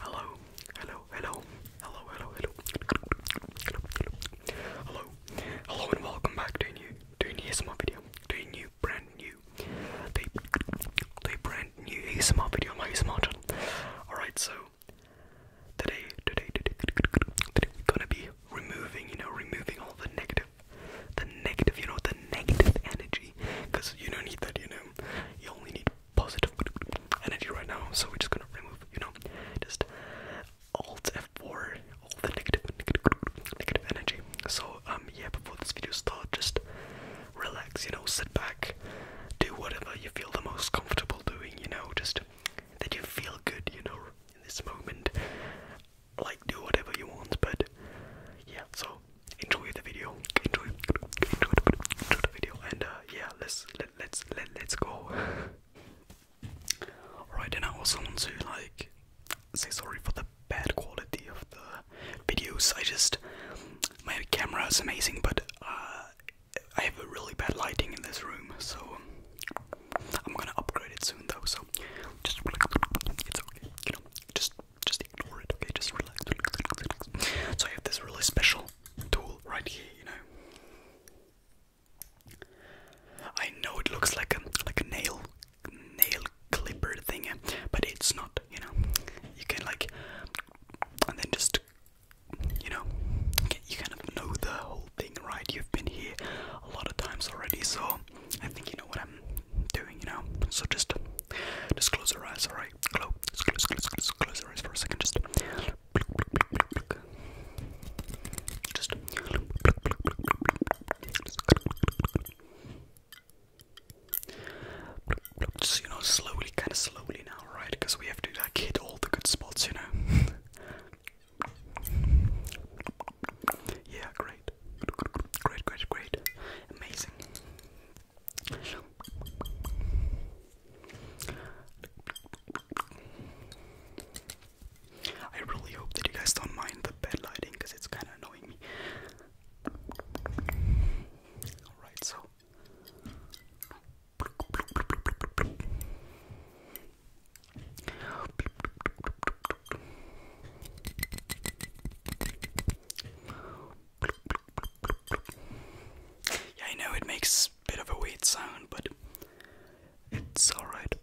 Hello, hello, hello, hello, hello, hello, hello, hello, hello, and welcome back to a new, to a new ASMR video, to a new, brand new, to a, to a brand new ASMR video on my ASMR channel. Alright, so, today, today, today, today, we're gonna be removing, you know, removing all the negative, the negative, you know, the negative energy, because you don't need that, you know, you only need positive energy right now, so we're just gonna remove, you know, just Alt F4, all the negative, negative, negative energy. So, um, yeah, before this video starts, just relax, you know, sit back, do whatever you feel the most comfortable doing, you know, just that you feel good, you know, in this moment. Like, do whatever you want, but yeah, so enjoy the video. Enjoy, enjoy, enjoy the video. And uh, yeah, let's let let's let let let let us go. Alright, and I also want to like say sorry for the bad quality of the videos. I just my camera is amazing, but uh, I have really bad lighting in this room, so I'm gonna upgrade it soon though. So just it's okay, you know, just just ignore it, okay? Just relax, So I have this really special tool right here, you know. I know it looks like a like a nail nail clipper thing, eh? but it's not, you know. You can like and then just you know you kind of know the whole thing, right? You've been here a lot of times already, so I think you know what I'm doing, you know. So just just close your eyes, alright? right, close, close, close, close, close your eyes for a second. Just, just. Just you know, slowly, kind of slowly now, right? Because we have to like hit all the good spots, you know. yeah, great, great, great, great, amazing. I really hope that you guys don't mind the bed lighting because it's kind of annoying me. Alright, so. Yeah, I know it makes a bit of a weird sound, but it's alright.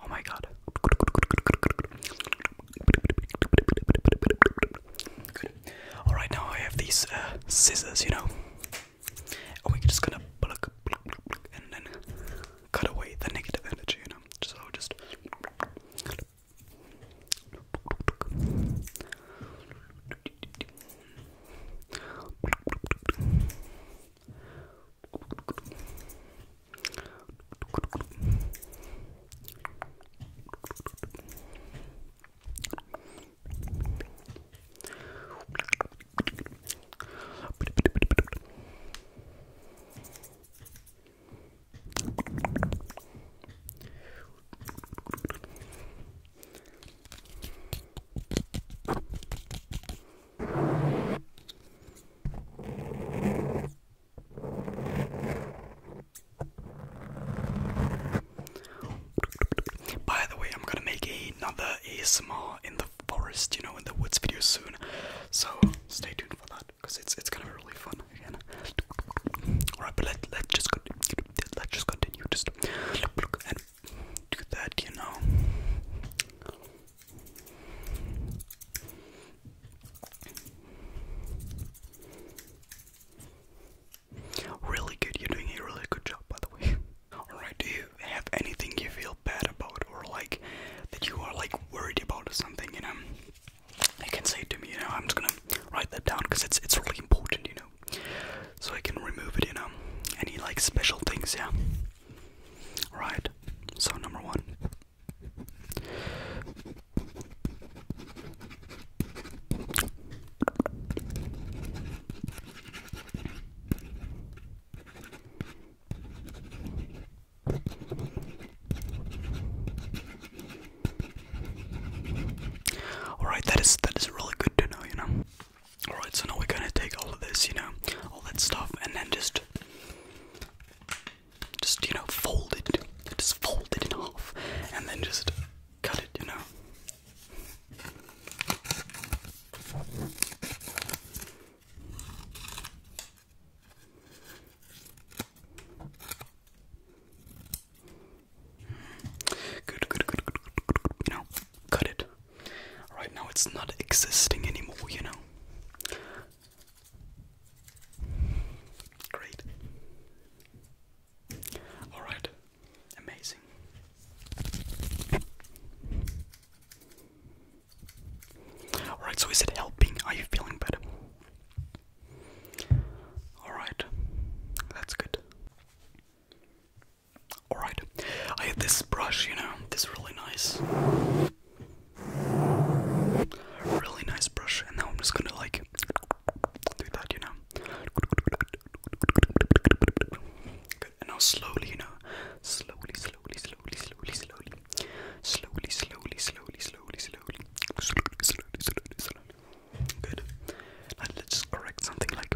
Oh my god. Alright, now I have these uh, scissors, you know. And we're just gonna and then cut away the negative energy, you know. So just by the way, I'm gonna make another ASMR in the forest, you know, in the woods video soon, so stay tuned for that because it's it's gonna be really fun Alright, but let let's just Let's just continue. Just look and that, you know. Really good. You're doing a really good job, by the way. Alright, do you have anything you feel? bad about or like that you are like worried about something, you know, you can say to me, you know, I'm just gonna write that down because it's it's really important, you know, so I can remove it, you know, any like special things, yeah. Right. So number one. Alright, that is that is really good to know, you know. Alright, so now we're gonna take all of this, you know, all that stuff, and then just just you know, fold it. Just fold it in half and then just cut it, you know. Good, good, good, good, you know, cut it. Right now it's not existing anymore, you know. Great. Alright, amazing. Alright, so is it helping? Are you feeling better? Alright, that's good. Alright, I have this brush, you know, this really nice, really nice brush, and now I'm just gonna like do that, you know. and now slowly, you know, slowly, slowly, slowly, slowly, slowly, slowly, slowly, slowly, slowly, slowly, slowly, slowly, slowly, slowly. Good. And let's correct something like.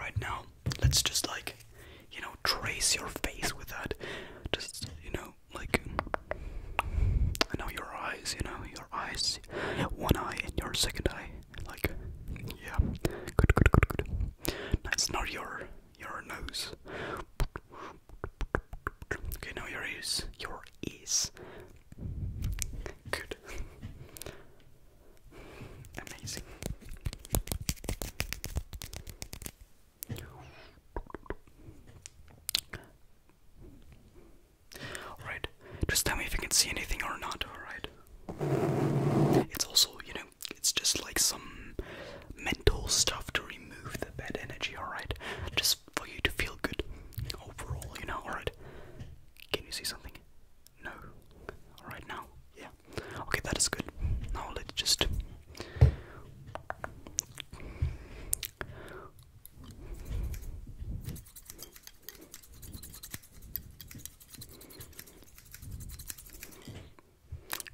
Right now, let's just like, you know, trace your face with that. Just, you know, like, I know your eyes, you know, your eyes, one eye and your second eye. Like, yeah, good, good, good, good. That's not your, your nose. Okay, now your ears, your ears. Good. Amazing. Alright, just tell me if you can see anything or not, alright? It's also, you know, it's just like some mental stuff to remove the bad energy, alright? Just for you to feel good overall, you know, alright? Can you see something? No. Right now? Yeah. Okay, that is good. Now let's just.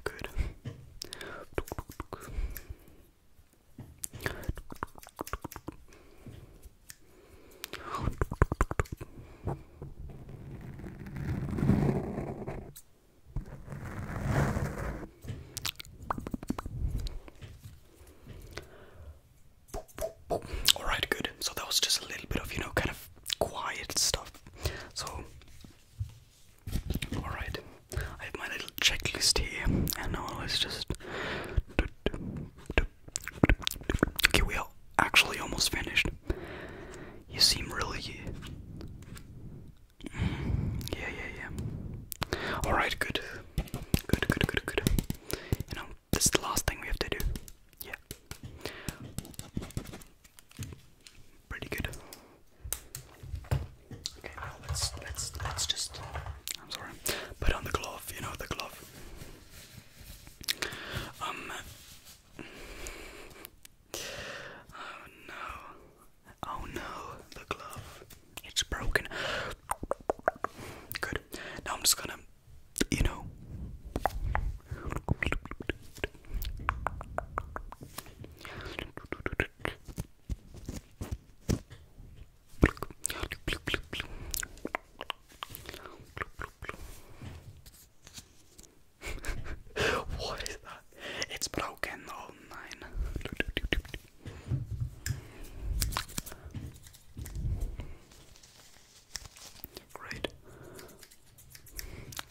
Good. Alright, good. So that was just a little bit of, you know, kind of quiet stuff. So, alright. I have my little checklist here, and now it's just. Do, do, Okay, we are actually almost finished. You seem really. Mm, yeah, yeah, yeah. Alright, good. Good, good, good, good. You know, this is the last thing we have to do. Yeah. Pretty good. Okay, well let's let's let's just I'm sorry. Put on the glove, you know the glove. Um Oh no. Oh no, the glove. It's broken. Good. Now I'm just gonna, you know. what is that? It's broken. Oh nine. Great.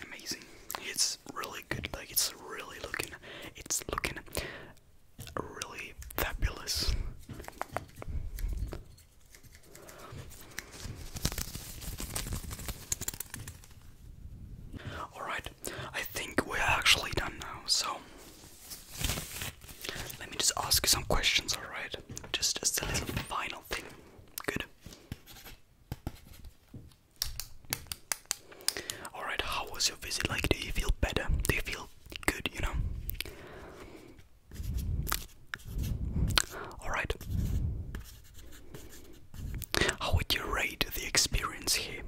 Amazing. It's really good. Like it's really looking. It's looking really fabulous. Alright, I think we're actually done now, so let me just ask you some questions, alright? Just, just a little final thing. Good. Alright, how was your visit? Like, do you feel better? Do you feel good, you know? Alright. How would you rate the experience here?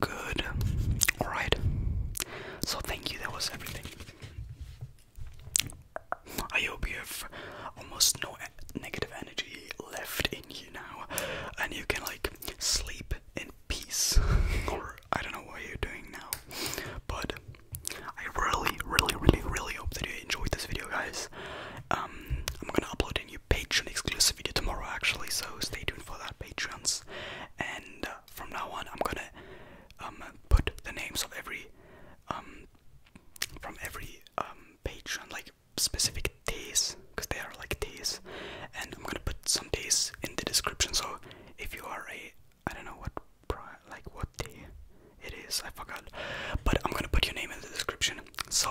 Good. Alright. So, thank you, that was everything. I hope you have almost no negative energy left in you now, and you can like sleep in peace, I don't know what you're doing now. But I really, really, really, really hope that you enjoyed this video, guys. Um, I'm gonna upload a new Patreon exclusive video tomorrow, actually, so stay tuned for that, Patreons. And uh, from now on, I'm gonna um, put the names of every um, from every Patreon, like specific days because they are like teas. And I'm gonna put some teas in the description. So if you are a, I don't know what, like what tea it is, I forgot. But I'm gonna put your name in the description. So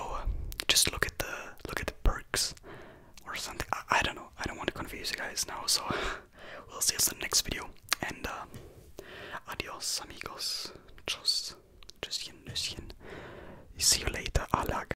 just look at the look at the perks or something. I, I don't know. I don't want to confuse you guys now. So we'll see us in the next video. And uh, adios amigos. just just you Tschüsschen, Nüsschen. See you later, Alag.